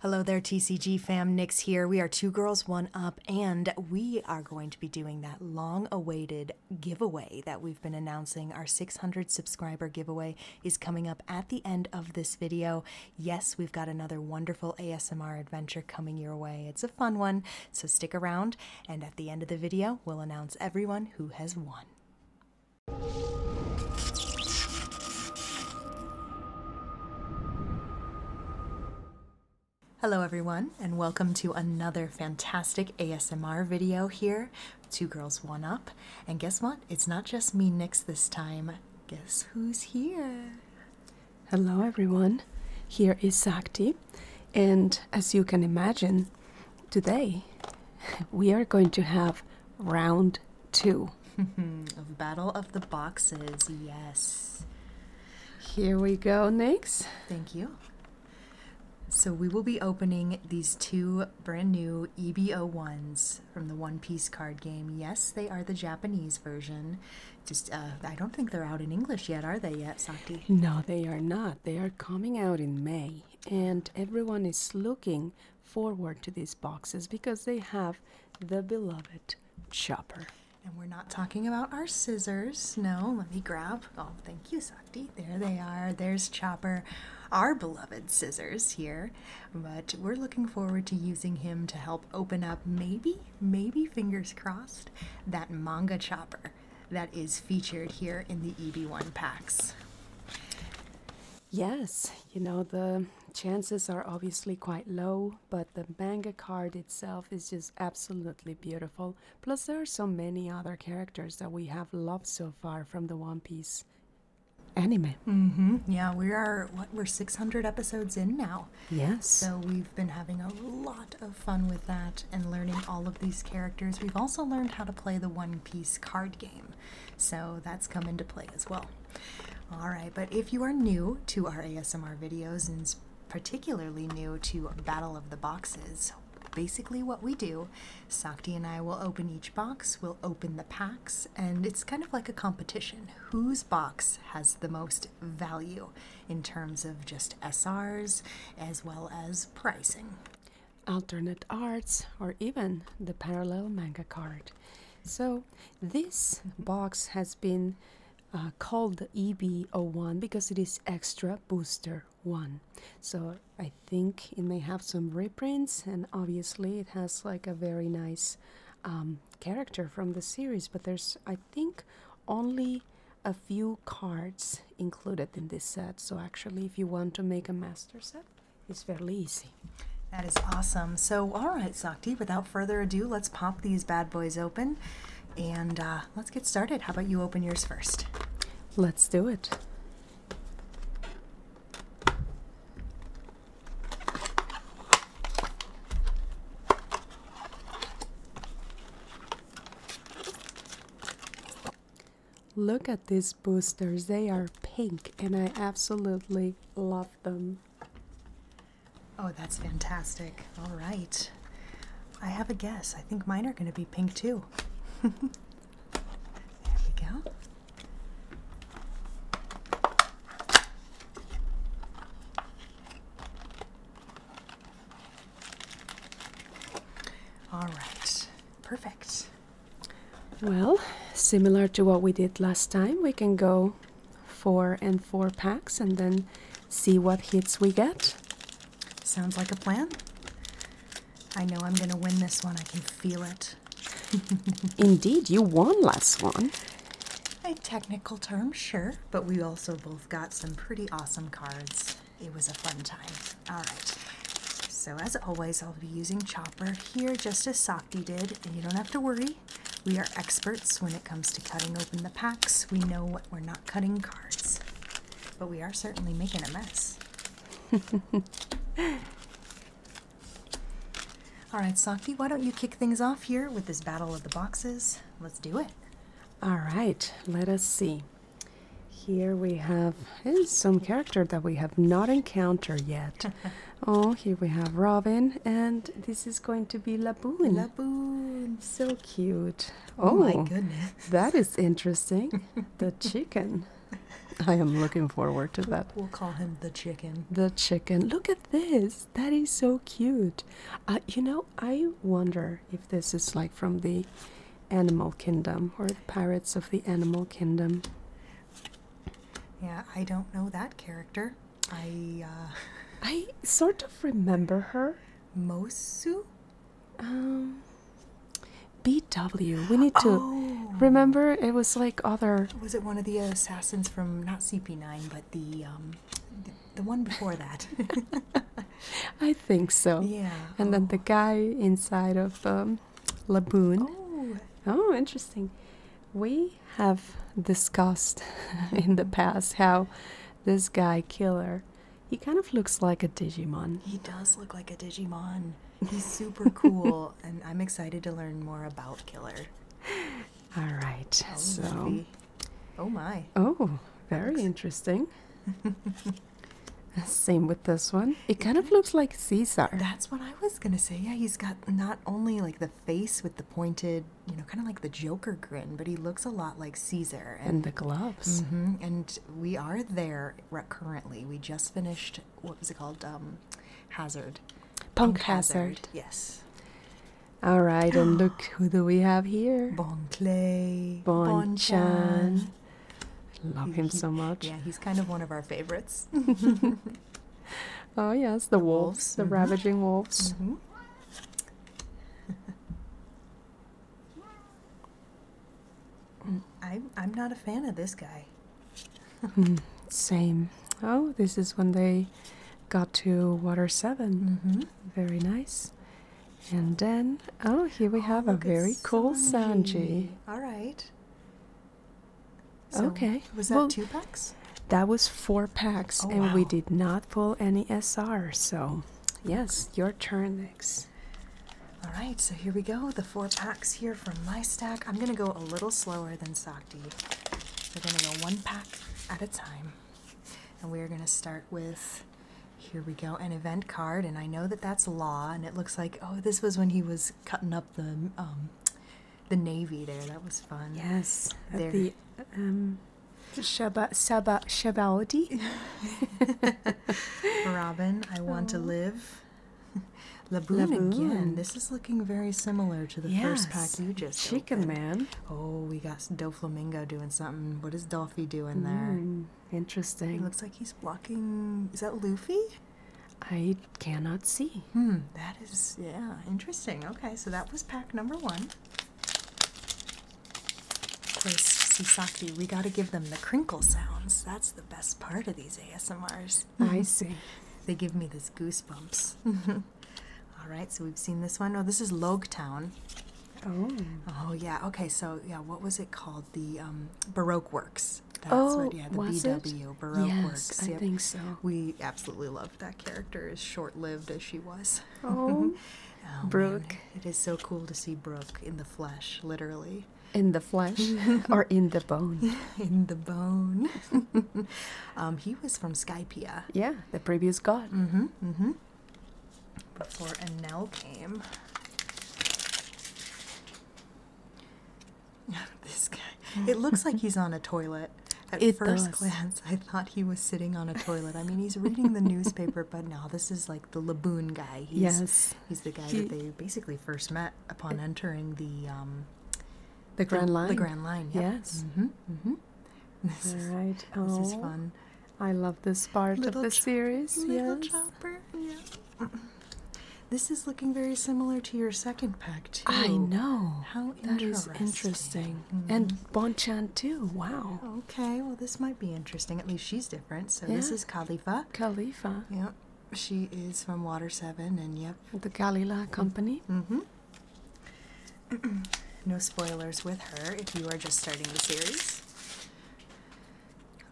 Hello there, TCG fam. Nix here. We are Two Girls, One Up, and we are going to be doing that long awaited giveaway that we've been announcing. Our 600 subscriber giveaway is coming up at the end of this video. Yes, we've got another wonderful ASMR adventure coming your way. It's a fun one, so stick around, and at the end of the video, we'll announce everyone who has won. Hello everyone and welcome to another fantastic ASMR video here, Two Girls One Up. And guess what? It's not just me Nix this time. Guess who's here? Hello everyone. Here is Sakti and as you can imagine, today we are going to have round two. of Battle of the Boxes, yes. Here we go, next. Thank you. So we will be opening these two brand new EBO ones from the One Piece card game. Yes, they are the Japanese version. Just uh, I don't think they're out in English yet, are they yet, Sakti? No, they are not. They are coming out in May, and everyone is looking forward to these boxes because they have the beloved chopper. And we're not talking about our scissors. No, let me grab. Oh, thank you, Sakti. There they are. There's Chopper, our beloved scissors here. But we're looking forward to using him to help open up, maybe, maybe fingers crossed, that manga Chopper that is featured here in the EB1 packs. Yes, you know, the chances are obviously quite low, but the manga card itself is just absolutely beautiful. Plus, there are so many other characters that we have loved so far from the One Piece anime. Mm-hmm. Yeah, we are what we're 600 episodes in now. Yes. So we've been having a lot of fun with that and learning all of these characters. We've also learned how to play the One Piece card game, so that's come into play as well. All right, but if you are new to our ASMR videos and particularly new to Battle of the Boxes, basically what we do, Sakti and I will open each box, we'll open the packs, and it's kind of like a competition. Whose box has the most value in terms of just SRs as well as pricing? Alternate arts or even the parallel manga card. So this box has been uh, called the EB01 because it is Extra Booster 1. So I think it may have some reprints and obviously it has like a very nice um, character from the series but there's I think only a few cards included in this set so actually if you want to make a master set it's fairly easy. That is awesome. So, all right, Sakti, without further ado, let's pop these bad boys open and uh, let's get started. How about you open yours first? Let's do it. Look at these boosters. They are pink and I absolutely love them. Oh, that's fantastic. All right. I have a guess. I think mine are going to be pink too. there we go. All right. Perfect. Well, similar to what we did last time, we can go four and four packs and then see what hits we get. Sounds like a plan. I know I'm going to win this one. I can feel it. Indeed, you won last one. A technical term, sure, but we also both got some pretty awesome cards. It was a fun time. All right. So as always, I'll be using Chopper here just as Sakti did, and you don't have to worry we are experts when it comes to cutting open the packs. We know what we're not cutting cards, but we are certainly making a mess. All right, Saki, why don't you kick things off here with this battle of the boxes? Let's do it. All right, let us see. Here we have is eh, some character that we have not encountered yet. Oh, here we have Robin, and this is going to be Laboon. Laboon. So cute. Oh, my oh, goodness. That is interesting. the chicken. I am looking forward to that. We'll call him the chicken. The chicken. Look at this. That is so cute. Uh, you know, I wonder if this is like from the animal kingdom or the pirates of the animal kingdom. Yeah, I don't know that character. I uh, I sort of remember her. Mosu? Um BW. We need to oh. remember it was like other Was it one of the assassins from not CP9 but the um the, one before that? I think so. Yeah. And then the oh. guy inside of um, Laboon. Oh. oh, interesting. We have discussed in the mm-hmm. past how this guy killer he kind of looks like a digimon he does look like a digimon he's super cool and i'm excited to learn more about killer all right so oh my oh very interesting same with this one it kind of looks like caesar that's what i was gonna say yeah he's got not only like the face with the pointed you know, kind of like the Joker grin, but he looks a lot like Caesar. And, the gloves. Mm-hmm, and we are there currently. We just finished, what was it called? Um, Hazard. Punk, Hazard. Yes. All right, and look who do we have here? Bon Clay. Bon, Chan. Love him so much. Yeah, he's kind of one of our favorites. oh yes, the, wolves, the mm-hmm. ravaging wolves. Mm-hmm. I'm I'm not a fan of this guy. Hmm, same. Oh, this is when they got to water 7 mm-hmm. Very nice. And then, oh, here we oh, have a very cool Sanji. All right okay. Was that two packs? That was four packs, oh, and we did not pull any SR. So, yes, your turn next. All right, so here we go. The four packs here from my stack. I'm going to go a little slower than Sakti. We're going to go one pack at a time. And we're going to start with, here we go, an event card. And I know that that's Law, and it looks like, oh, this was when he was cutting up the um, the navy there. That was fun. Yes, there. the um, Shaba Shaba Shabaoti. Robin, I want to live. Laboon, again. This is looking very similar to the first pack you just Chicken opened. Man. Oh, we got Doflamingo doing something. What is Dolphy doing there? Mm, interesting. It looks like he's blocking. Is that Luffy? I cannot see. Hmm, that is, yeah, interesting. Okay, so that was pack number one. Of course, Sisaki, we got to give them the crinkle sounds. That's the best part of these ASMRs. I mm-hmm. see. they give me this goosebumps. Mm-hmm. All right, so we've seen this one. Oh, this is Logue Town. Oh. Oh yeah. Okay. So yeah, what was it called? The um, Baroque Works. oh, the was BW it? Baroque yes, Works. I think so. We absolutely love that character is short-lived as she was. Oh, oh Brooke! It is so cool to see Brooke in the flesh, literally. In the flesh, or in the bone. In the bone. Um, he was from Skypia. Yeah, the previous god. Mm-hmm. Mm-hmm. Before Enel came. This guy it looks like he's on a toilet. At first glance, I thought he was sitting on a toilet. I mean, he's reading the newspaper, but now this is like the Laboon guy. He's, yes, he's the guy that they basically first met upon entering the um, the Grand Line. The Grand Line. Yes. Mm-hmm, mm-hmm. This is, oh, fun. I love this part of the series. Little yes. Chopper. Yeah. This is looking very similar to your second I know. How interesting. And mm-hmm. Bonchan too. Wow. Okay. Well, this might be interesting. At least she's different. So this is Khalifa. Khalifa. Yep. She is from Water Seven, and yep. The Galila Company. Mm-hmm. no spoilers with her if you are just starting the series.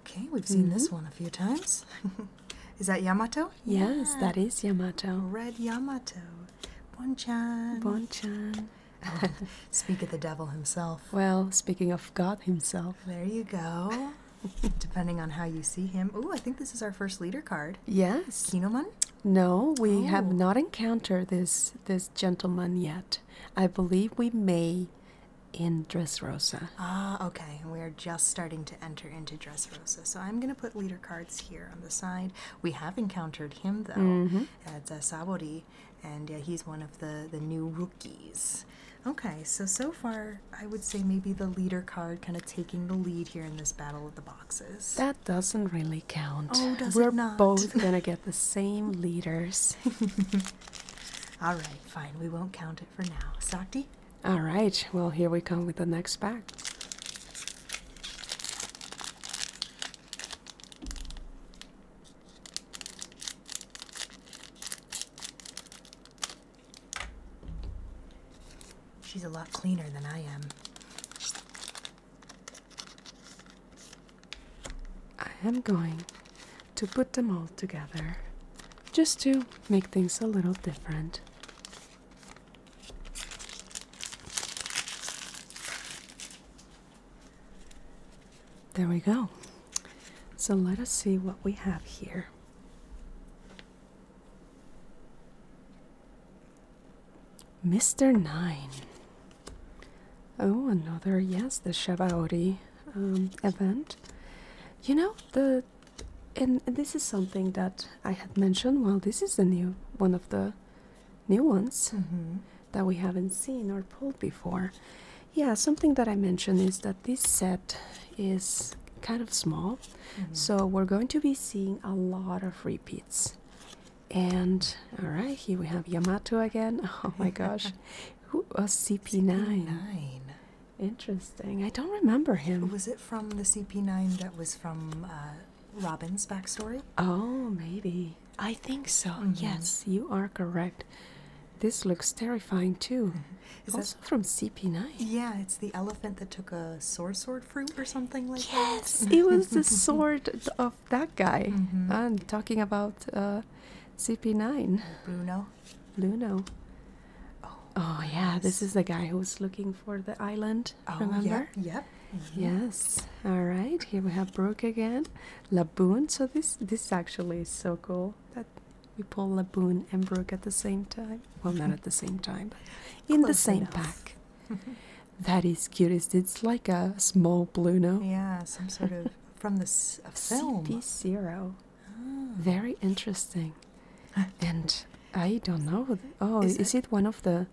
Okay, we've seen this mm-hmm. one a few times. is that Yamato? Yes, that is Yamato. Red Yamato. Bonchan. Bonchan. Speak of the devil himself. Well, speaking of God himself. There you go. Depending on how you see him. Oh, I think this is our first leader card. Yes. Kinoman? No, we oh. have not encountered this this gentleman yet. I believe we may in Dressrosa. Ah, okay. we are just starting to enter into Dressrosa. So I'm going to put leader cards here on the side. We have encountered him though mm-hmm. at uh, Sabori, and uh, he's one of the the new rookies. Okay, so so far I would say maybe the leader card kind of taking the lead here in this battle of the boxes. That doesn't really count. Oh, does We're both gonna get the same leaders. All right, fine. We won't count it for now. Sakti. All right. Well, here we come with the next pack. She's a lot cleaner than I am. I am going to put them all together just to make things a little different. There we go. So let us see what we have here. Mr. Nine. Oh, another, yes, the Shabaori Ori um, event. You know, the and this is something that I had mentioned. Well, this is a new one of the new ones mm-hmm. that we haven't seen or pulled before. Yeah, something that I mentioned is that this set is kind of small, mm-hmm. so we're going to be seeing a lot of repeats. And all right, here we have Yamato again. Oh my gosh, who was uh, CP9? 9 Interesting. I don't remember him. Was it from the CP9 that was from uh, Robin's backstory? Oh, maybe. I think so. Mm-hmm. Yes, you are correct. This looks terrifying too. Mm-hmm. Is that from CP9? Yeah, it's the elephant that took a sword sword fruit or something like yes, that. it was the sword of that guy. Mm I'm talking about uh, CP9. Bruno. Bruno. Oh, yeah, this is the guy who's looking for the island. Oh, remember? Yep. Mm-hmm. Yes. All right. Here we have Brook again. Laboon. So this this actually is so cool that we pull Laboon and Brook at the same time. Well, not at the same time, in the same pack. that is curious. It's like a small blue Bluno. Yeah, some sort of from the film. CP zero. Ah. Very interesting. and I don't know. Oh, is, it one of the?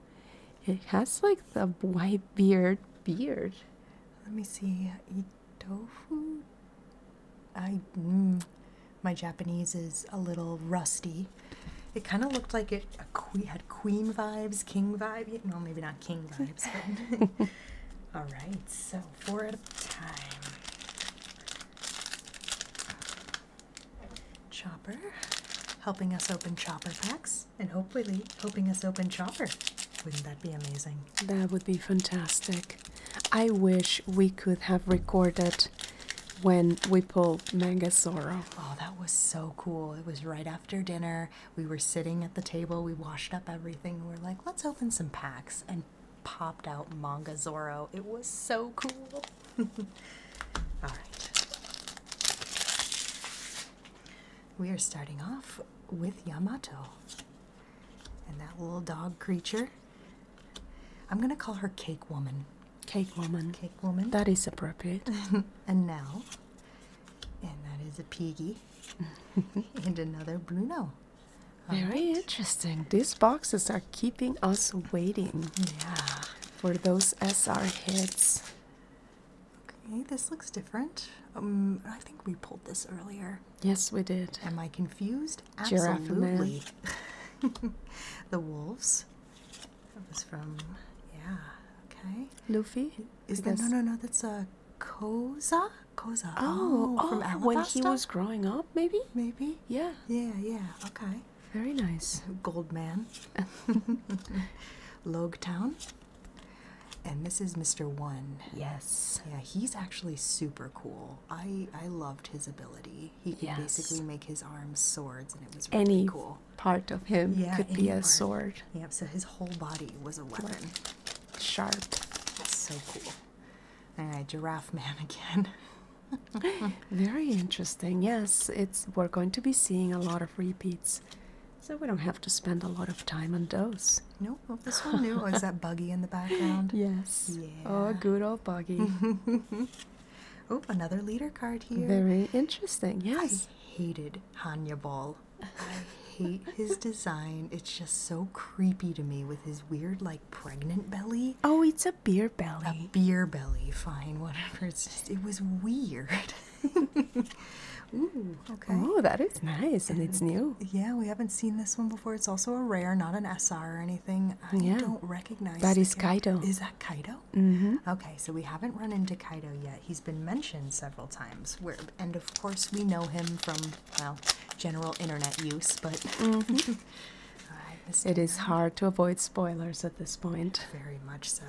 It has like the white beard beard. Let me see. Eat tofu. I mm, my Japanese is a little rusty. It kind of looked like it had queen vibes, king vibe. Well, maybe not king vibes. All right, so four at a time. Chopper, helping us open chopper packs and hopefully helping us open Chopper. Wouldn't that be amazing? That would be fantastic. I wish we could have recorded when we pulled Mangasoro. Oh, that was so cool. It was right after dinner. We were sitting at the table. We washed up everything. We are like, let's open some packs and popped out Manga Zoro. It was so cool. All right. We are starting off with Yamato. And that little dog creature. I'm going to call her Cake Woman. Cake Woman. Cake Woman. That is appropriate. and now, and that is a Piggy. and another Bruno. Very interesting. These boxes are keeping us waiting. Yeah. For those SR heads. Okay, this looks different. Um, I think we pulled this earlier. Yes, we did. Am I confused? Absolutely. the wolves. That was from, yeah. Okay. Luffy. Is that no, no, no? That's a uh, Koza. Koza. Oh, oh, oh when he was growing up, maybe. Maybe. Yeah. Yeah. Yeah. Okay. Very nice. Gold man. Town, And this is Mr. One. Yes. Yeah, he's actually super cool. I I loved his ability. He could basically make his arms swords, and it was really any cool. Part of him could be a sword. Yep. So his whole body was a weapon. sharp. so cool. All right, Giraffe Man again. Very interesting. Yes, it's we're going to be seeing a lot of repeats so we don't have to spend a lot of time on those. Nope. this one new is that buggy in the background. Yes. Yeah. Oh, good old buggy. oh, another leader card here. Very interesting. Yes. I hated Hanya Ball. I hate his design. It's just so creepy to me with his weird, like, pregnant belly. Oh, it's a beer belly. A beer belly. Fine, whatever. It's just, it was weird. Oh, that is nice, and, it's new. Yeah, we haven't seen this one before. It's also a rare, not an SR or anything. I don't recognize That is character. Kaido. Is that Kaido? Mm-hmm. Okay, so we haven't run into Kaido yet. He's been mentioned several times. Where, and of course, we know him from, well, general internet use, but. Mm-hmm. it is hard to avoid spoilers at this point. Very much so.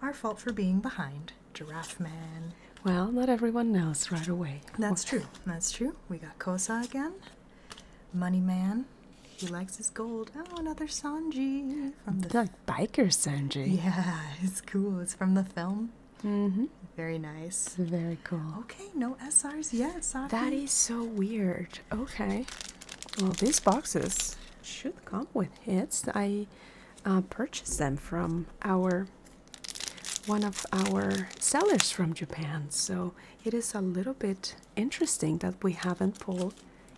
Our fault for being behind. Giraffe Man. Well, not everyone knows right away. That's true. That's true. We got Kosa again. Money Man. He likes his gold. Oh, another Sanji from the like biker Sanji. Yeah, it's cool. It's from the film. Mm-hmm. Very nice. Very cool. Okay, no SRs yet. Saki. That is so weird. Okay. Well, these boxes should come with hits. I uh, purchase them from our one of our sellers from Japan. So it is a little bit interesting that we haven't pulled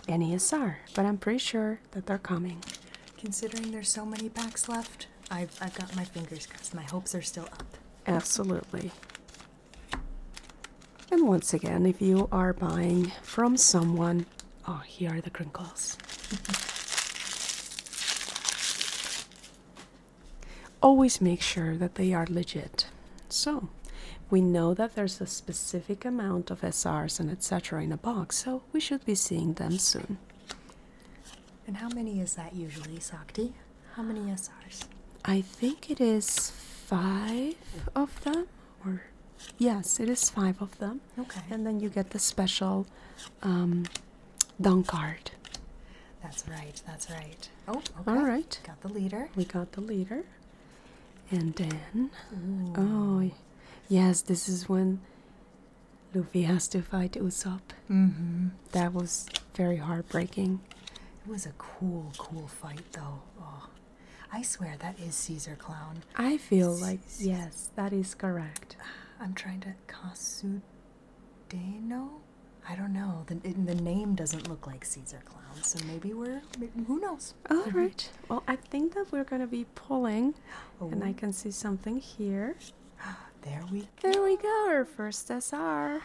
any NESR, but I'm pretty sure that they're coming. Considering there's so many packs left, I've, I've got my fingers crossed. My hopes are still up. Absolutely. And once again, if you are buying from someone oh, here are the crinkles. Always make sure that they are legit. So, we know that there's a specific amount of SRs and etc. in a box, so we should be seeing them soon. And how many is that usually, Sakti? How many SRs? I think it is five of them, or yes, it is five of them. Okay. And then you get the special um, dunk card. That's right. That's right. Oh, okay. All right. Got the leader. We got the leader. And then, oh, yes, this is when Luffy has to fight Usopp. Mm -hmm. That was very heartbreaking. It was a cool, cool fight, though. Oh, I swear that is Caesar Clown. I feel like, yes that is correct. I'm trying to no, I don't know. The, the name doesn't look like Caesar clown, so maybe we're who knows. All right. Well, I think that we're gonna be pulling, and I oh. can see something here. There we. Go. There we go. Our first SR,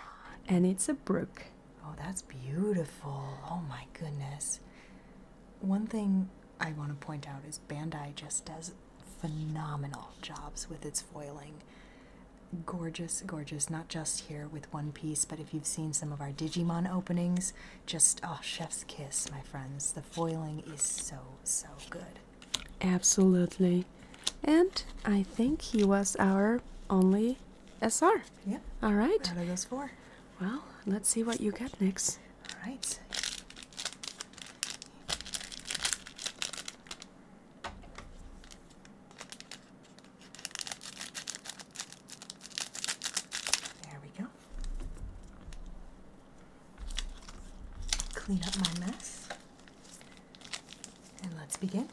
and it's a brook. Oh, that's beautiful. Oh my goodness. One thing I want to point out is Bandai just does phenomenal jobs with its foiling. Gorgeous, gorgeous, not just here with One Piece, but if you've seen some of our Digimon openings, just oh, chef's kiss, my friends. The foiling is so, so good. Absolutely. And I think he was our only SR. Yep. All right. Out of those four. Well, let's see what you get next. All right. there we go. Clean up my mess. And let's begin.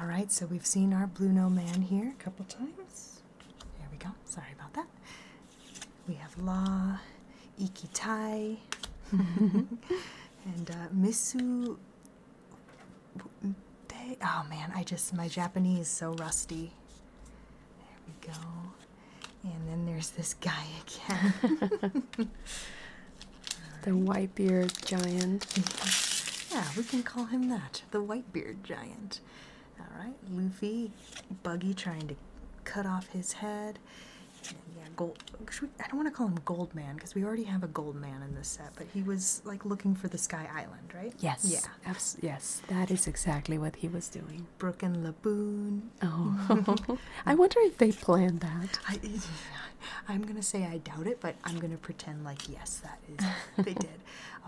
All right, so we've seen our Blue No Man here a couple times. There we go. Sorry about that. We have La, Ikita, and uh, Misu. Oh man, I just, my Japanese is so rusty. There we go. And then there's this guy again. the white beard giant. yeah, we can call him that. The Whitebeard giant. Alright, Luffy, Buggy trying to cut off his head. yeah, gold. I don't want to call him Gold Man because we already have a Gold Man in this set, but he was like looking for the Sky Island, right? Yes. Yeah. yes, that is exactly what he was doing. Brook and Laboon. Oh, I wonder if they planned that. I'm gonna say I doubt it, but I'm gonna pretend like yes, that they did.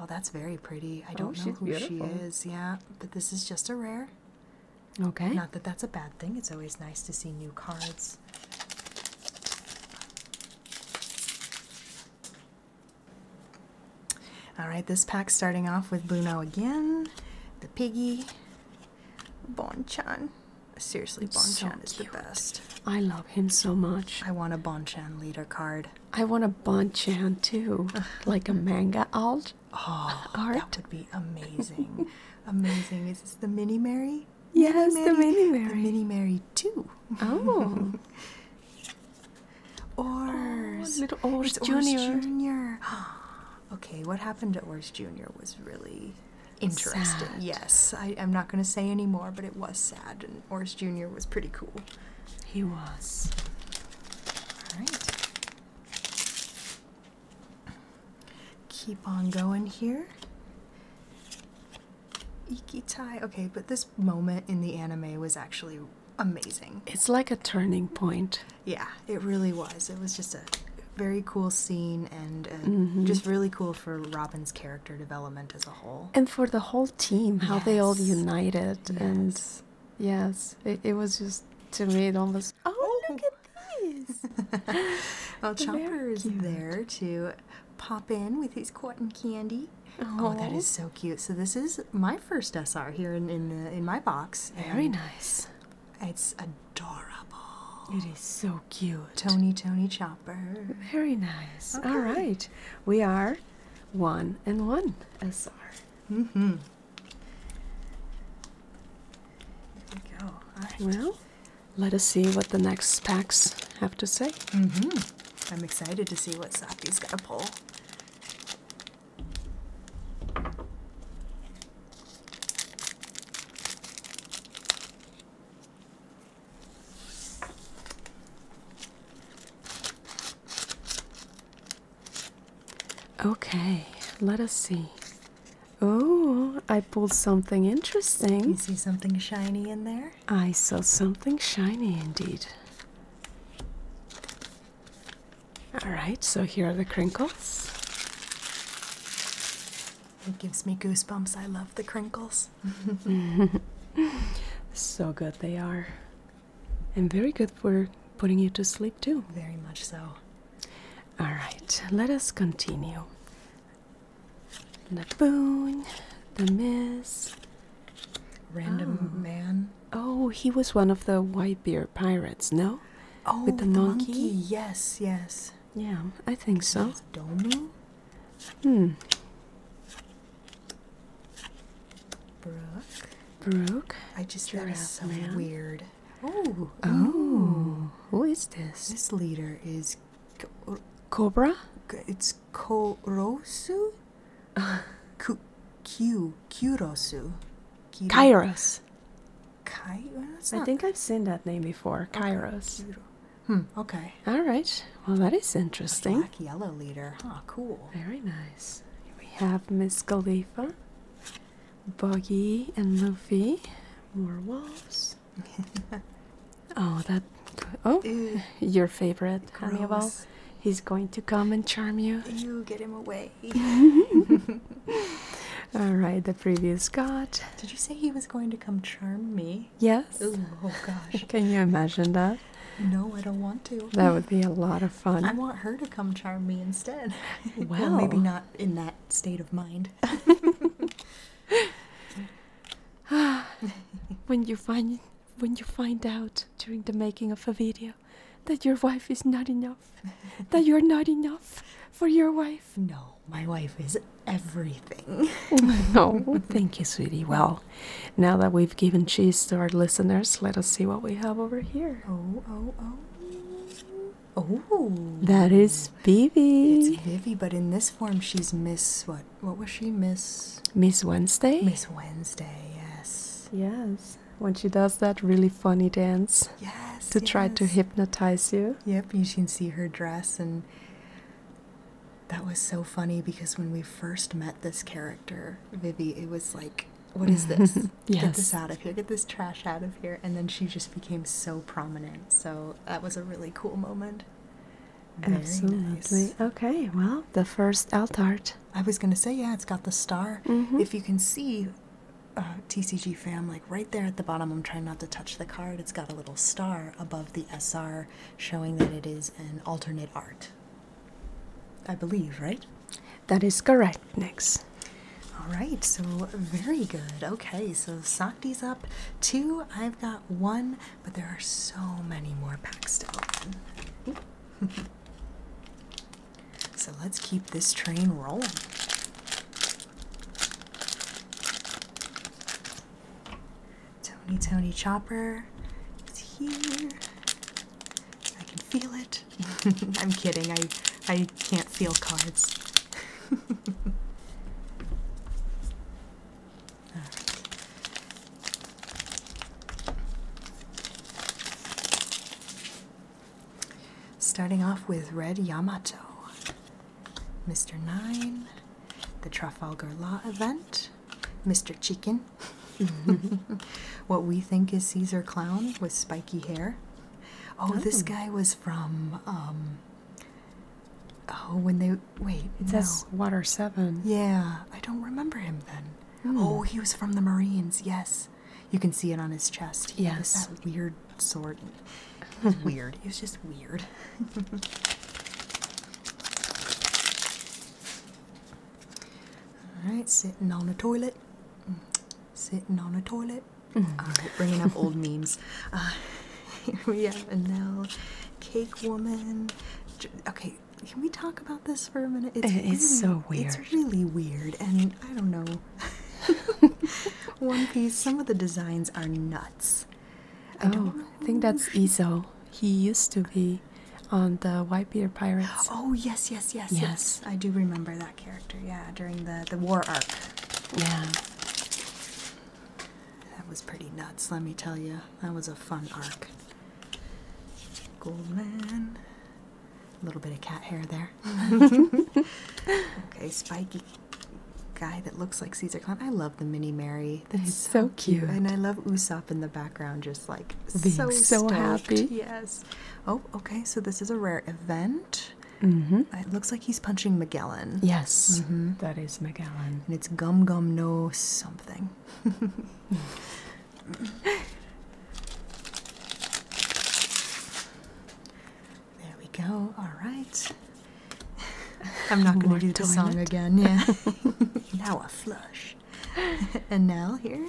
Oh, that's very pretty. I oh, don't know who she is. Yeah, but this is just a rare. Okay. Not that that's a bad thing. It's always nice to see new cards. All right, this pack starting off with Bruno again, the piggy, Bonchan. Seriously, Bonchan is the best. I love love him so much. I want a Bonchan leader card. I want a Bonchan too, like a manga alt. Oh, art. that would be amazing. amazing. Is this the Mini Mary? Yes, Mini Mary? the Mini Mary. The Mini Mary too. Oh. Ors. Oh, little Ors it's Junior. Ors Junior. okay, what happened to Ors Junior was really interesting. Sad. Yes, I, I'm not going to say anymore, but it was sad, and and Jr. was pretty cool. He was. All right. Keep on going here. Iki Ikitai. Okay, but this moment in the anime was actually amazing. It's like a turning point. Yeah, it really was. It was just a very cool scene and mm-hmm. just really cool for Robin's character development as well. And for the whole team, how they all united. And yes, it, was just, to me, it almost. Oh, look oh. at this! well, Chopper is there to pop in with his cotton candy. Oh, that is so cute. So this is my first SR here in in my box. Very nice. It's adorable. It is so cute. Tony, Tony, Chopper. Very nice. Oh, All right. We are one and one, SR. Mm hmm. There we go. Well, let us see what the next packs have to say. hmm. I'm excited to see what Saki's going to pull. Okay, let us see. Oh, I pulled something interesting. You see something shiny in there? I saw something shiny indeed. All right, so here are the crinkles. It gives me goosebumps. I love the crinkles. so good they are. And very good for putting you to sleep, too. Very much so. All right, let us continue. The boon, the miss. Random oh. man. Oh, he was one of the white beard pirates, no? Oh, with the, monkey? Yes, yes. Yeah, I think so. Domu? Hmm. Brooke. Brooke. I just got some weird. Oh. Oh. Who is this? This leader is Cobra. It's Kurosu. Q Q Kairos. Kai. I think I've seen that name before. Kairos. Hmm, okay. All right. Well, that is interesting. A black yellow leader. Oh, cool. Very nice. we have Miss Galifa, Buggy, and Luffy. More wolves. oh, that. Oh, your favorite Gross. He's going to come and charm you. You get him away. All right. The previous god. Did you say he was going to come charm me? Yes. oh gosh. Can you imagine that? No, I don't want to. That would be a lot of fun. I want her to come charm me instead. Well, maybe not in that state of mind. when you find when you find out during the making of a video that your wife is not enough, that you're not enough for your wife. No, my wife is everything. no, thank you, sweetie. Well, now that we've given cheese to our listeners, let us see what we have over here. Oh, oh, oh. Oh. That is Vivi. It's Vivi, but in this form, she's Miss. What? What was she? Miss. Miss Wednesday? Miss Wednesday, yes. Yes. When she does that really funny dance. Yes. To try to hypnotize you. Yep, you can see her dress and that was so funny because when we first met this character, Vivi, it was like, what is mm-hmm. this? Get this out of here. Get this trash out of here. And then she just became so prominent. So that was a really cool moment. Absolutely. Okay, well, the first Altart. I was going to say, yeah, it's got the star. Mm-hmm. If you can see uh, TCG fam, like right there at the bottom, I'm trying not to touch the card. It's got a little star above the SR showing that it is an alternate art. I believe, right? That is correct, Nix. All right, so very good. Okay, so Sakti's up two. I've got one, but there are so many more packs to open. so let's keep this train rolling. Tony, Tony Chopper is here. I can feel it. I'm kidding. I I can't feel cards. Starting off with Red Yamato, Mr. Nine, the Trafalgar Law event, Mr. Chicken, what we think is Caesar Clown with spiky hair. Oh, this oh. guy was from. Um, oh, when they wait, it no. says Water Seven. Yeah, I don't remember him then. Hmm. Oh, he was from the Marines. Yes, you can see it on his chest. He yes, weird sword. weird. It was just weird. All right, sitting on a toilet. Mm. Sitting on a toilet. Mm. Ah, bringing up old memes. Ah, here we have a Anel, Cake Woman. Okay, can we talk about this for a minute? It's, so weird. It's really weird, and I don't know. One Piece, some of the designs are nuts. I oh, I think that's Iso. He used to be on the White Beard Pirates. Oh yes, yes, yes, yes, I do remember that character. Yeah, during the the war arc. Yeah. That was pretty nuts, let me tell you. That was a fun arc. Goldman. A little bit of cat hair there. okay, spiky guy that looks like Caesar Clown. I love the mini Mary. That's so, cute. And I love Usopp in the background just like Being so, happy. Yes. Oh, okay. So this is a rare event. Mm-hmm. It looks like he's punching Magellan. Yes, mm-hmm. is Magellan, and it's Gum Gum No something. there we go. All right. I'm not going to do the song again. Yeah. now a flush. and now here,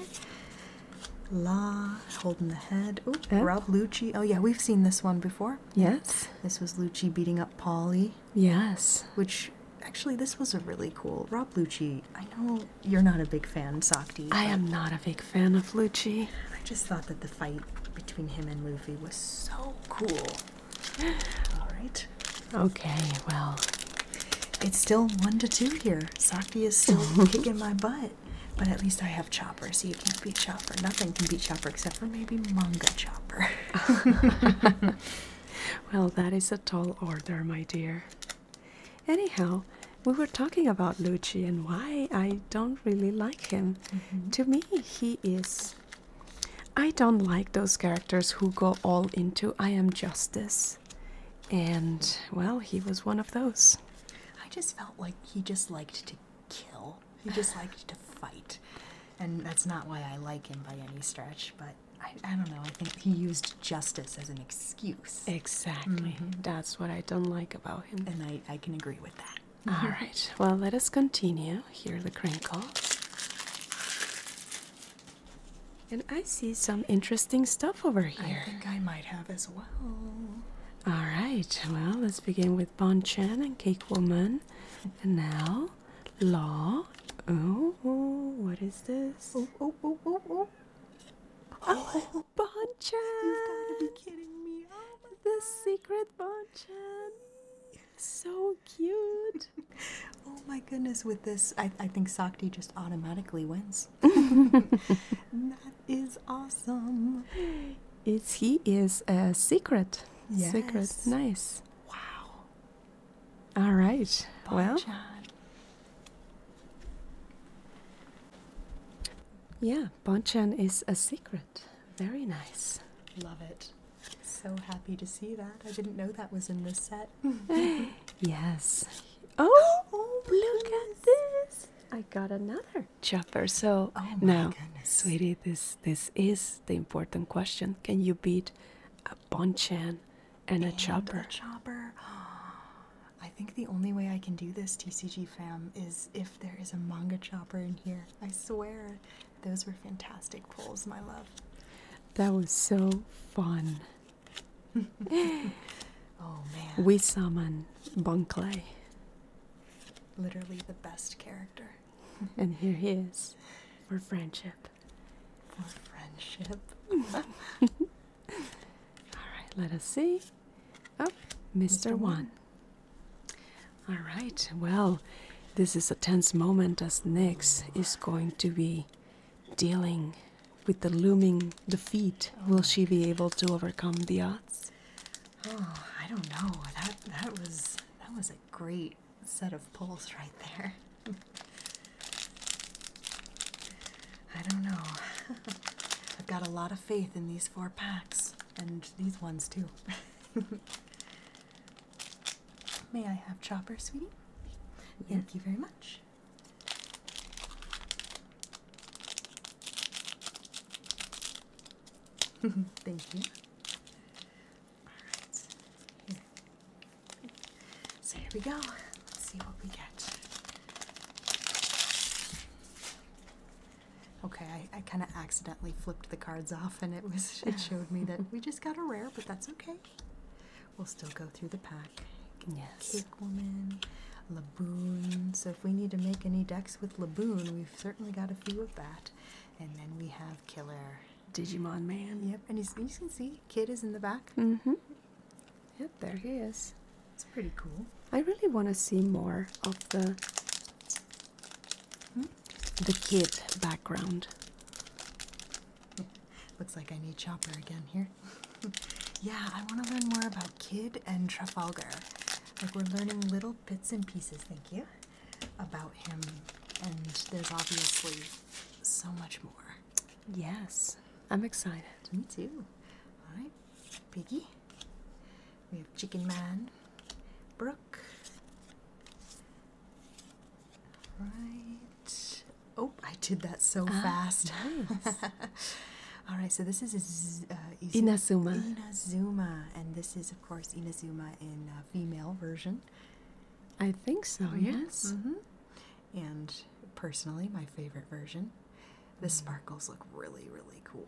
La holding the head. oh, Rob Lucci. Oh yeah, we've seen this one before. Yes, this was Lucci beating up Paulie. Yes, which actually this was a really cool Rob Lucci. I know you're not a big fan, Sakti. I am not a big fan of Lucci. I just thought that the fight between him and Luffy was so cool. All right. Okay, well. It's still one to two here. Saki is still kicking my butt. But at least I have Chopper, so you can't beat Chopper. Nothing can beat Chopper except for maybe manga Chopper. well, that is a tall order, my dear. Anyhow, we were talking about Lucci and why I don't really like him. Mm-hmm. To me, he is I don't like those characters who go all into I am justice. And, well, he was one of those. I just felt like he just liked to kill, he just liked to fight. And that's not why I like him by any stretch, but I, don't know. I think he used justice as an excuse. Exactly. Mm-hmm. That's what I don't like about him. And I, can agree with that. All mm-hmm. right. Well, let us continue. Here, the crinkle. And I see some interesting stuff over here. I think I might have as well. All right, well, let's begin with Bon Chen and Cake Woman. And now, Law. Oh, oh what is this? Oh, oh, oh, oh, oh. Oh, oh Bon Chen! You've got to be kidding me. Oh, the God. secret Bon Chan. So cute. oh my goodness, with this, I, I think Sakti just automatically wins. that is awesome. It's he is a secret. Secret. Nice. Wow. All right. well. Yeah, Bonchan is a secret. Very nice. Love it. So happy to see that. I didn't know that was in this set. yes. Oh, oh look at this! I got another chopper. So oh now, sweetie, this this is the important question. Can you beat a bonchan and, a chopper? A chopper. I think the only way I can do this, TCG fam, is if there is a manga chopper in here. I swear, those were fantastic pulls, my love. That was so fun. Oh, we summon Bunkley. Literally the best character. and here he is for friendship. For friendship. Alright, let us see. Oh, Mr. One. Alright, well, this is a tense moment as next is going to be dealing with the looming defeat. Will she be able to overcome the odds? Oh, I don't know. That that was that was a great set of pulls right there. I don't know. I've got a lot of faith in these four packs and these ones too. May I have Chopper, sweetie? Thank you very much. Thank you. All right. So here we go. Let's see what we get. Okay, I, I kind of accidentally flipped the cards off, and it was it showed me that we just got a rare, but that's okay. We'll still go through the pack. Yes. Cake Woman, Laboon. So if we need to make any decks with Laboon, we've certainly got a few of that. And then we have Killer. Digimon Man. Yep, and he's, you can see Kid is in the back. Mm-hmm. Yep, there he is. It's pretty cool. I really want to see more of the hmm? the kid background. Looks like I need Chopper again here. yeah, I want to learn more about Kid and Trafalgar. Like, we're learning little bits and pieces, thank you, about him. And there's obviously so much more. Yes, I'm excited. Me too. All right, Piggy. We have Chicken Man, Brooke, Right. Oh, I did that so ah, fast. All right, so this is uh, Inazuma. Inazuma, and this is, of course, Inazuma in uh, female version. I think so. Oh, yes. Mm-hmm. And personally, my favorite version. The mm. sparkles look really, really cool.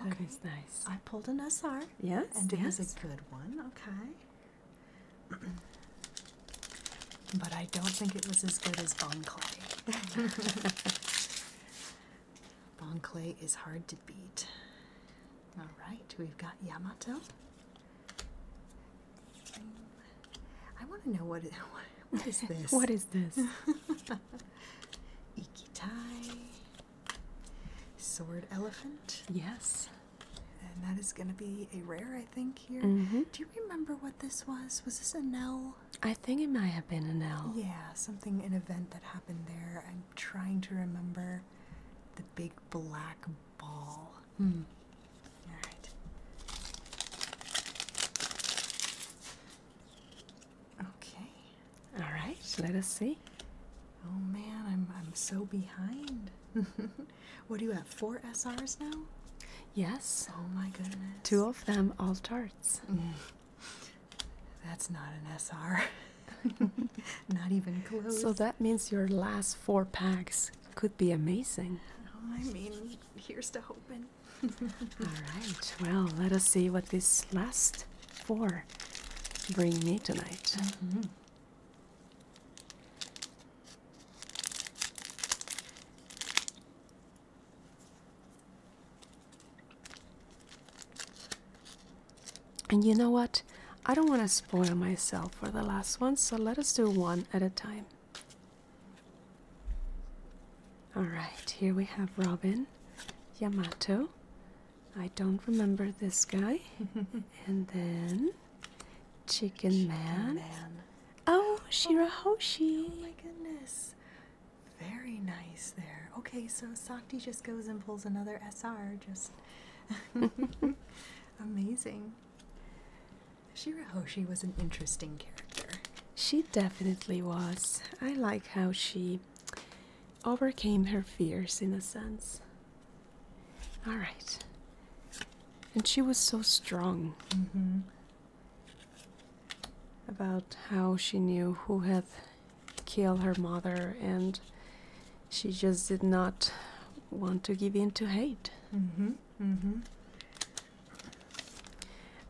That okay. nice. I pulled an SR. Yes. And it was a good one. Okay but I don't think it was as good as Bon Clay. bon Clay is hard to beat. Alright, we've got Yamato. I want to know what is this? what is this? Ikitai. Sword elephant. Yes. And that is going to be a rare, I think, here. Mm-hmm. Do you remember what this was? Was this an L? I think it might have been an L. Yeah, something, an event that happened there. I'm trying to remember the big black ball. Hmm. All right. Okay. All right, let us see. Oh man, I'm, I'm so behind. What do you have? Four SRs now? Yes. Oh my goodness. Two of them all tarts. That's not an SR. not even close. So that means your last four packs could be amazing. Oh, I mean, here's to hoping. all right. Well, let us see what these last four bring me tonight. Mm-hmm. And you know what? I don't want to spoil myself for the last one, so let us do one at a time. Alright, here we have Robin, Yamato. I don't remember this guy. and then Chicken, man. man. Oh, Shirahoshi. Oh, oh my goodness. Very nice there. Okay, so Sakti just goes and pulls another SR. Just amazing. Shirahoshi was an interesting character. She definitely was. I like how she overcame her fears in a sense. All right. And she was so strong mm-hmm. about how she knew who had killed her mother, and she just did not want to give in to hate. Mm-hmm. Mm-hmm.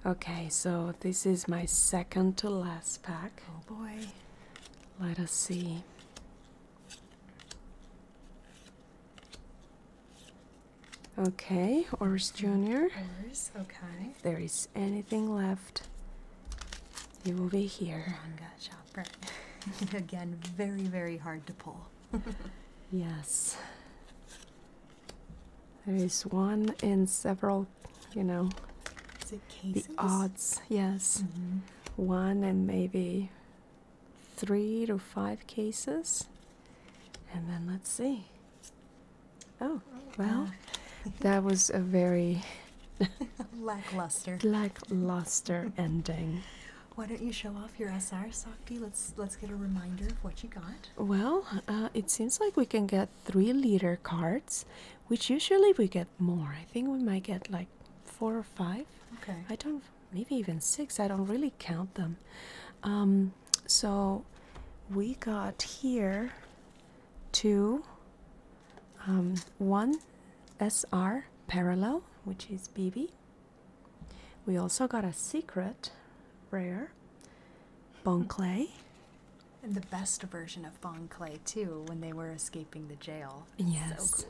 Okay, so this is my second to last pack. Oh boy. Let us see. Okay, Oris Jr. okay. there is anything left, It will be here. Manga uh, shopper. Again, very, very hard to pull. yes. There is one in several, you know. The odds, yes. Mm-hmm. One and maybe three to five cases. And then let's see. Oh, well, that was a very lackluster, lackluster ending. Why don't you show off your SR, Sakti? Let's let's get a reminder of what you got. Well, uh, it seems like we can get three liter cards, which usually we get more. I think we might get like four or five. Okay. I don't maybe even six. I don't really count them. Um, so we got here two, um, one SR parallel, which is BB. We also got a secret rare, Bon Clay. And the best version of Bon Clay, too, when they were escaping the jail. Yes.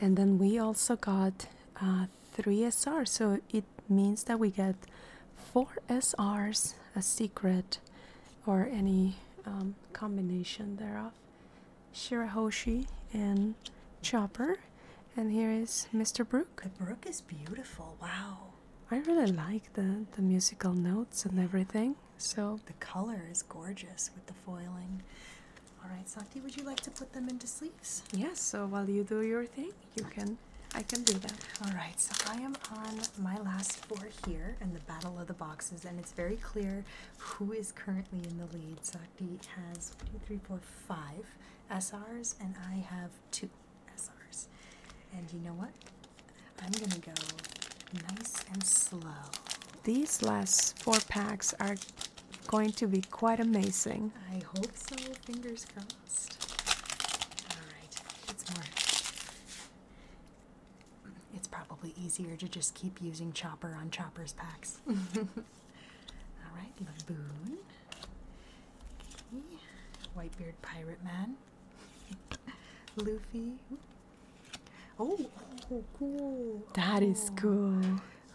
And then we also got uh, three SR, so it means that we get four SRs, a secret, or any um, combination thereof. Shirahoshi and Chopper. And here is Mr. Brook. The Brook is beautiful. Wow. I really like the, the musical notes and everything. So the color is gorgeous with the foiling. All right, Sakti, would you like to put them into sleeves? Yes, so while you do your thing, you can I can do that. All right, so I am on my last four here in the battle of the boxes, and it's very clear who is currently in the lead. Sakti has one, two, three, four, five SRs, and I have two SRs. And you know what? I'm gonna go nice and slow. These last four packs are going to be quite amazing. I hope so. Fingers it's probably easier to just keep using Chopper on Chopper's packs. Alright, Laboon. Okay. Whitebeard Pirate Man. Luffy. Oh, oh, cool. That oh. cool.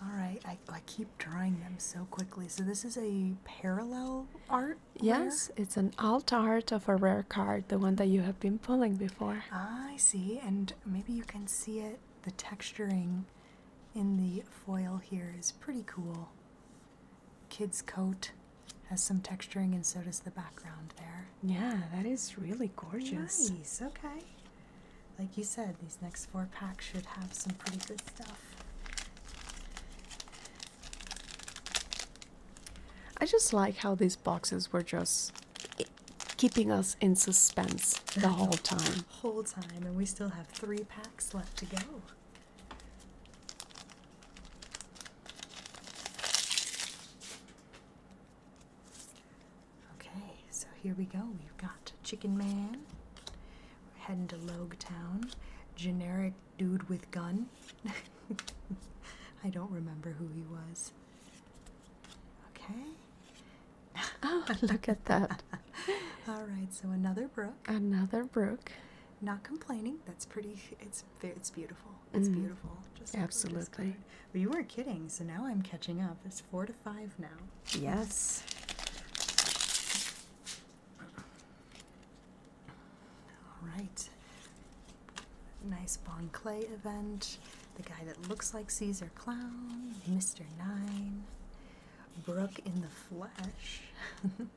All right, I, I keep drawing them so quickly. So this is a parallel art? Yes, it's an alt art of a rare card, the one that you have been pulling before. I see, and maybe you can see it, the texturing in the foil here is pretty cool. Kid's coat has some texturing and so does the background there. Yeah, that is really gorgeous. Nice, okay. Like you said, these next four packs should have some pretty good stuff. I just like how these boxes were just keeping us in suspense the whole time. whole time, and we still have three packs left to go. Okay, so here we go. We've got Chicken Man, heading to Logue Town. Generic dude with gun. I don't remember who he was. Okay. Oh, look at that. All right, so another brook. Another brook. Not complaining. That's pretty. It's it's beautiful. It's mm. beautiful. Just absolutely. Well, you were kidding. So now I'm catching up. It's four to five now. Yes. All right. Nice Bon Clay event. The guy that looks like Caesar Clown, Mr. Nine, Brooke in the flesh.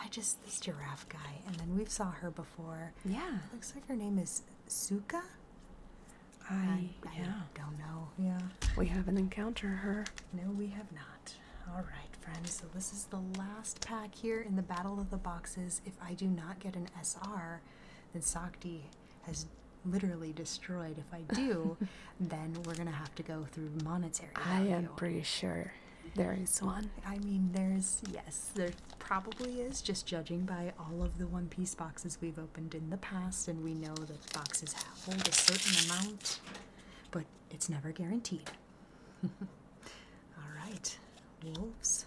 I just this giraffe guy, and then we have saw her before. Yeah, looks like her name is Suka. I, yeah. don't know. Yeah, we haven't encountered her. No, we have not. All right, friends. So this is the last pack here in the Battle of the Boxes. If I do not get an SR, then Sakti has literally destroyed. If I do, then we're going to have to go through monetary. I am pretty sure there is one. I mean, there's, yes, there probably is, just judging by all of the One Piece boxes we've opened in the past, and we know that boxes hold a certain amount. But it's never guaranteed. All right, wolves.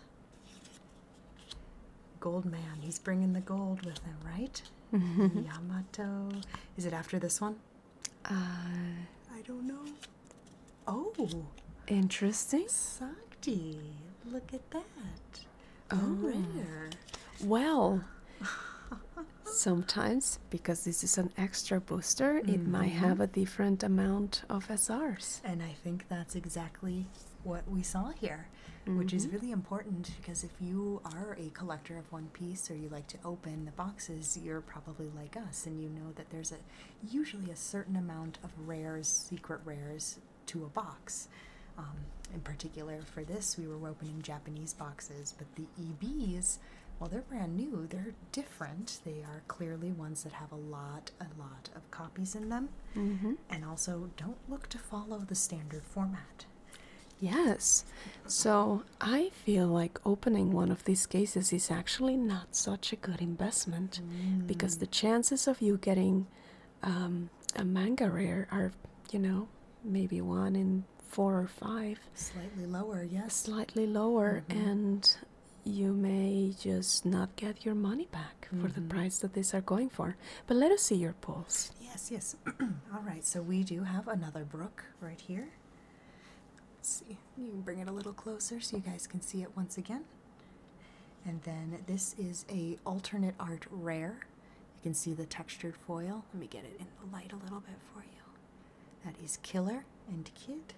Gold man, he's bringing the gold with him, right? Yamato. Is it after this one? Uh, I don't know. Oh, interesting. Sakti, look at that. Oh, rare. Well, Sometimes, because this is an extra booster, it might mm-hmm. have a different amount of SRs. And I think that's exactly what we saw here, which is mm-hmm. really important because if you are a collector of One Piece or you like to open the boxes, you're probably like us and you know that there's a usually a certain amount of rares, secret rares to a box. Um, in particular, for this, we were opening Japanese boxes, but the EBs well, they're brand new, they're different. They are clearly ones that have a lot, a lot of copies in them. Mm-hmm. And also, don't look to follow the standard format. Yes. So I feel like opening one of these cases is actually not such a good investment mm. because the chances of you getting um, a manga rare are, you know, maybe one in four or five. Slightly lower, yes. Slightly lower, mm-hmm. and you may just not get your money back for the mm-hmm. price that these are going for. But let us see your pulls. Yes, yes. All right, so we do have another brook right here. see. You can bring it a little closer so you guys can see it once again. And then this is a alternate art rare. You can see the textured foil. Let me get it in the light a little bit for you. That is killer and kid.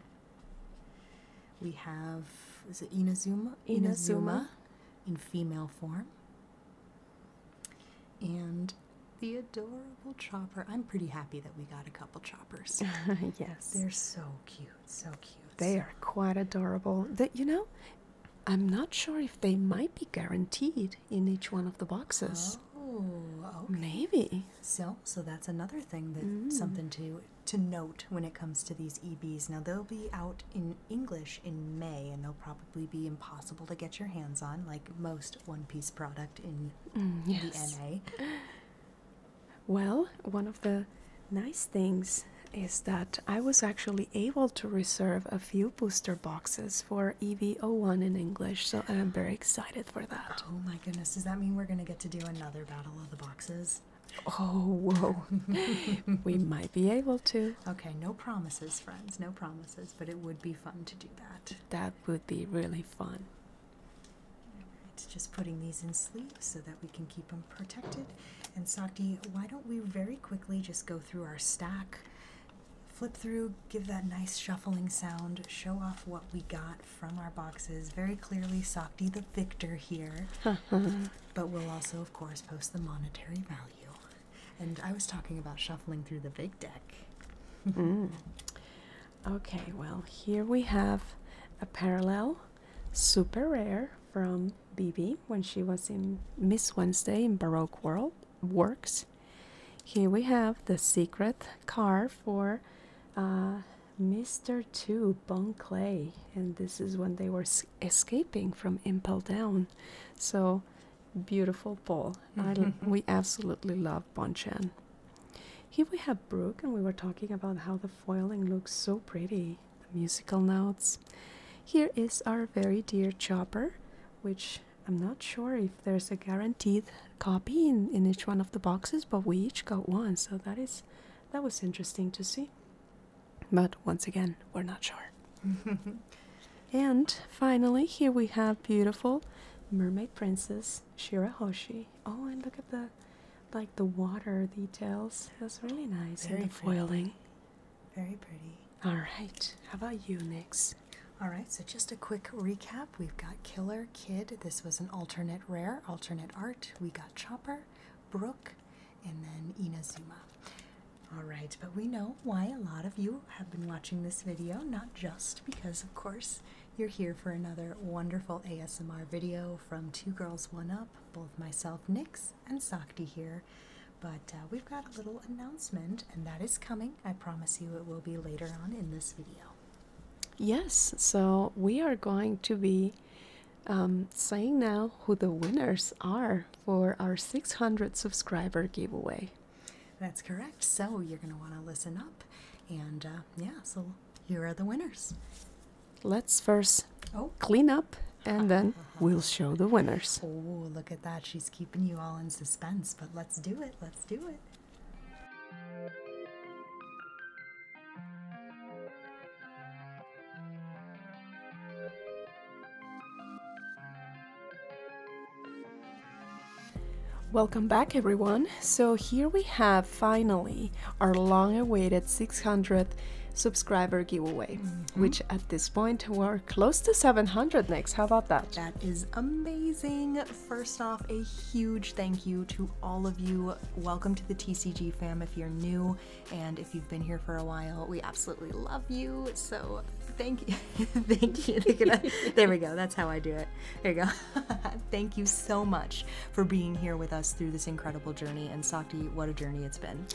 We have is it Inazuma? Inazuma in female form. And the adorable chopper. I'm pretty happy that we got a couple choppers. yes. They're so cute. So cute. They are quite adorable. That you know, I'm not sure if they might be guaranteed in each one of the boxes. Oh, maybe. So, so that's another thing that mm. something to to note when it comes to these EBs. Now they'll be out in English in May, and they'll probably be impossible to get your hands on, like most One Piece product in mm, the NA. Well, one of the nice things is that I was actually able to reserve a few booster boxes for EV01 in English, so I'm very excited for that. Oh my goodness. Does that mean we're going to get to do another Battle of the Boxes? Oh, whoa. we might be able to. Okay, no promises, friends. No promises, but it would be fun to do that. That would be really fun. It's just putting these in sleeves so that we can keep them protected. And Sakti, why don't we very quickly just go through our stack flip through, give that nice shuffling sound, show off what we got from our boxes. Very clearly, Softy the victor here. but we'll also, of course, post the monetary value. And I was talking about shuffling through the big deck. Mm. Okay, well, here we have a parallel super rare from BB when she was in Miss Wednesday in Baroque World Works. Here we have the secret car for uh, Mr. 2 Bon and this is when they were escaping from Impel Down. So beautiful Paul. we absolutely love Bonchan. Here we have Brooke, and we were talking about how the foiling looks so pretty, the musical notes. Here is our very dear Chopper, which I'm not sure if there's a guaranteed copy in, in each one of the boxes, but we each got one, so that is that was interesting to see. But once again, we're not sure. and finally, here we have beautiful mermaid princess Shirahoshi. Oh, and look at the like the water details. That's really nice. Very and the foiling. Very pretty. All right. How about you, Nix? All right, so just a quick recap. We've got Killer Kid. This was an alternate rare, alternate art. We got Chopper, Brooke, and then Inazuma. All right, but we know why a lot of you have been watching this video, not just because, of course, you're here for another wonderful ASMR video from Two Girls One Up, both myself, Nix, and Sakti here. But uh, we've got a little announcement, and that is coming. I promise you it will be later on in this video. Yes, so we are going to be um, saying now who the winners are for our 600 subscriber giveaway. That's correct. So you're going to want to listen up. And uh, yeah, so here are the winners. Let's first oh. clean up and then we'll show the winners. Oh, look at that. She's keeping you all in suspense, but let's do it. Let's do it. Welcome back everyone. So here we have finally our long awaited 600 subscriber giveaway, mm-hmm. which at this point we're close to 700 next. How about that? That is amazing. First off, a huge thank you to all of you. Welcome to the TCG fam if you're new, and if you've been here for a while, we absolutely love you. So thank you, thank you. there we go. That's how I do it. There you go. thank you so much for being here with us through this incredible journey. And Sakti, what a journey it's been.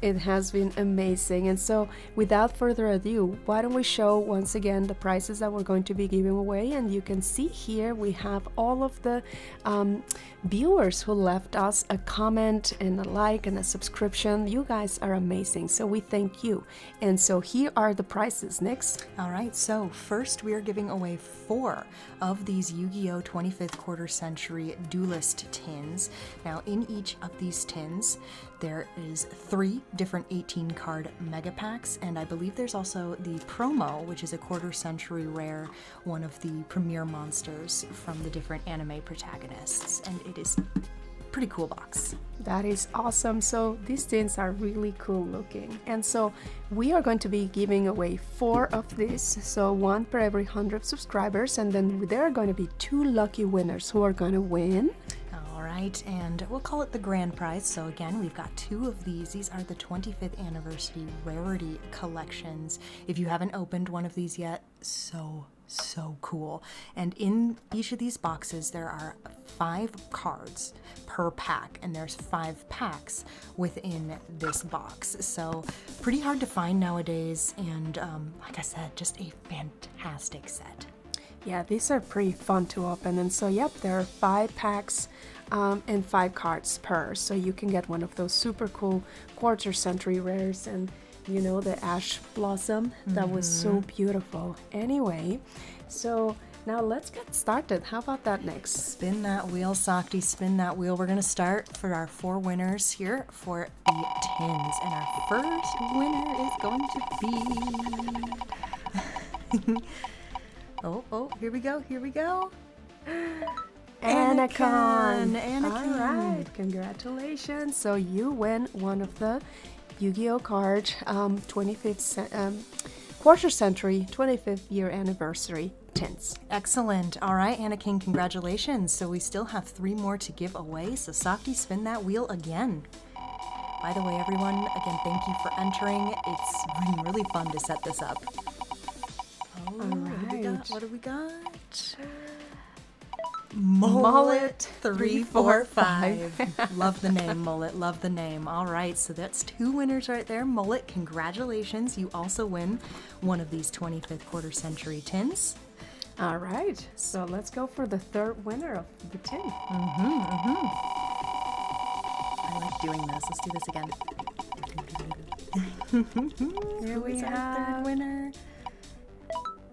It has been amazing. And so, without further ado, why don't we show once again the prizes that we're going to be giving away, and you can see here we have all of the um, viewers who left us a comment and a like and a subscription. You guys are amazing, so we thank you. And so here are the prizes. Next. All right, so first we are giving away four of these Yu Gi Oh! 25th Quarter Century Duelist tins. Now, in each of these tins, there is three different 18 card mega packs, and I believe there's also the promo, which is a quarter century rare, one of the premier monsters from the different anime protagonists, and it is pretty cool box. That is awesome. So these things are really cool looking. And so we are going to be giving away four of these. So one per every 100 subscribers. And then there are going to be two lucky winners who are going to win. All right. And we'll call it the grand prize. So again, we've got two of these, these are the 25th anniversary rarity collections. If you haven't opened one of these yet, so so cool. And in each of these boxes, there are five cards per pack, and there's five packs within this box. So pretty hard to find nowadays, and um, like I said, just a fantastic set. Yeah, these are pretty fun to open. And so, yep, there are five packs um, and five cards per. So you can get one of those super cool quarter century rares and you know the ash blossom that was so mm-hmm. beautiful. Anyway, so now let's get started. How about that next? Spin that wheel, Softy, spin that wheel. We're gonna start for our four winners here for the tins. And our first winner is going to be Oh, oh, here we go, here we go. Anacon. Anacon. All right, congratulations. So you win one of the Yu-Gi-Oh cards, 25th, um, um, quarter century, 25th year anniversary tints. Excellent. All right, Anakin, congratulations. So we still have three more to give away. So Saki, spin that wheel again. By the way, everyone, again, thank you for entering. It's been really fun to set this up. All right. What do we got? Mullet, three, four, five. love the name, Mullet. Love the name. All right, so that's two winners right there. Mullet, congratulations. You also win one of these 25th quarter century tins. All right, so let's go for the third winner of the tin. Mm-hmm, mm-hmm. I like doing this. Let's do this again. Here we have winner.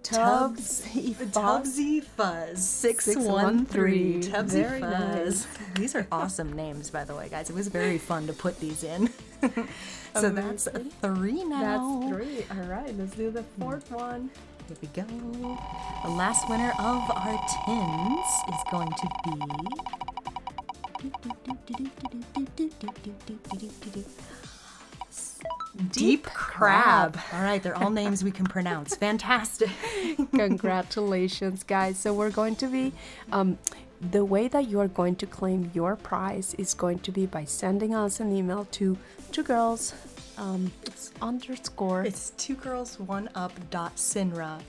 Tubbs Tubbsy Fuzz six, six one three. three. Tubbsy Fuzz. These are awesome names, by the way, guys. It was very fun to put these in. so that's three now. That's three. All right, let's do the fourth hmm. one. Here we go. The last winner of our tins is going to be. Deep, crab. All right, they're all names we can pronounce. Fantastic. Congratulations, guys. So, we're going to be um, the way that you are going to claim your prize is going to be by sending us an email to two girls it's um, underscore it's two girls one up dot sinra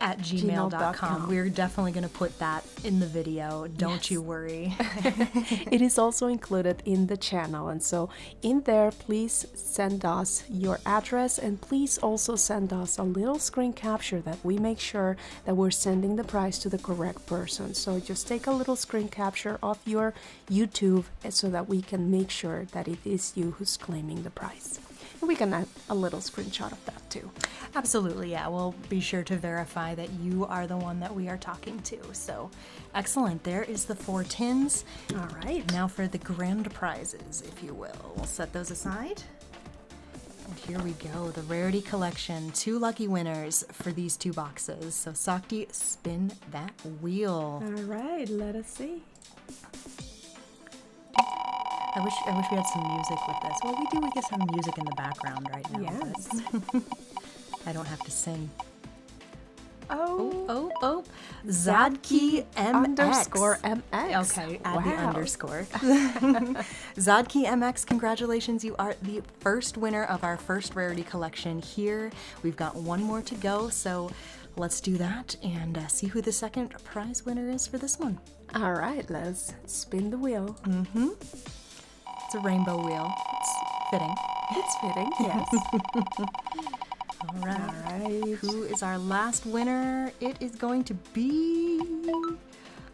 at gmail.com. gmail.com. We're definitely going to put that in the video. Don't you worry. it is also included in the channel. And so, in there, please send us your address and please also send us a little screen capture that we make sure that we're sending the price to the correct person. So, just take a little screen capture of your YouTube so that we can make sure that it is you who's claiming the price we can add a little screenshot of that too. Absolutely, yeah. We'll be sure to verify that you are the one that we are talking to. So excellent. There is the four tins. All right. Now for the grand prizes, if you will. We'll set those aside. And here we go, the rarity collection. Two lucky winners for these two boxes. So Sakti, spin that wheel. All right, let us see. I wish I wish we had some music with this. Well, we do. We get some music in the background right now. Yes. I don't have to sing. Oh oh oh, oh. Zadki M underscore MX. Okay, wow. underscore. Zadki MX, congratulations! You are the first winner of our first rarity collection. Here, we've got one more to go. So let's do that and uh, see who the second prize winner is for this one. All right, let's spin the wheel. Mm-hmm. It's a rainbow wheel. It's fitting. It's fitting, yes. All right. Who is our last winner? It is going to be.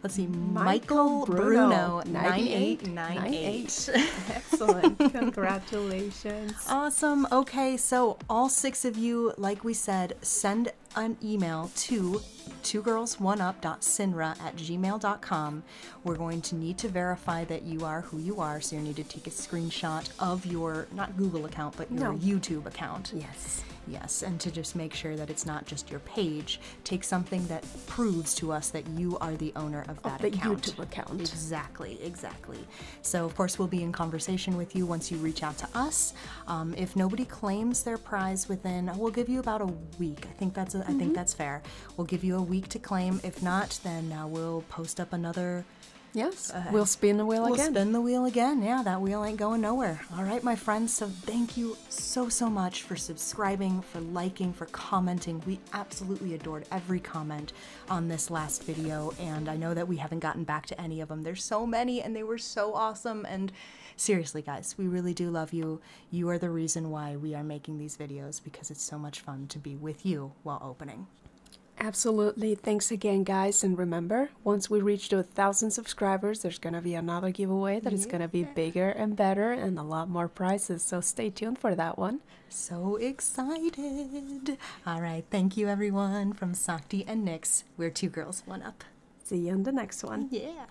Let's see, Michael, Bruno, 9898. Excellent. Congratulations. Awesome. Okay, so all six of you, like we said, send an email to twogirls1up.sinra at gmail.com. We're going to need to verify that you are who you are, so you need to take a screenshot of your, not Google account, but your YouTube account. Yes. Yes, and to just make sure that it's not just your page, take something that proves to us that you are the owner of that of the account. YouTube account. Exactly, exactly. So, of course, we'll be in conversation with you once you reach out to us. Um, if nobody claims their prize within, we'll give you about a week. I think that's I think mm-hmm. that's fair. We'll give you a week to claim. If not, then uh, we'll post up another. Yes, uh, we'll spin the wheel again. spin the wheel again. Yeah, that wheel ain't going nowhere. All right, my friends. So thank you so, so much for subscribing, for liking, for commenting. We absolutely adored every comment on this last video. And I know that we haven't gotten back to any of them. There's so many and they were so awesome. And seriously, guys, we really do love you. You are the reason why we are making these videos because it's so much fun to be with you while opening. Absolutely. Thanks again, guys. And remember, once we reach to a thousand subscribers, there's going to be another giveaway that going to be bigger and better and a lot more prizes. So stay tuned for that one. So excited. All right. Thank you, everyone, from Sakti and Nix we're two girls, one up. See you in the next one. Yeah.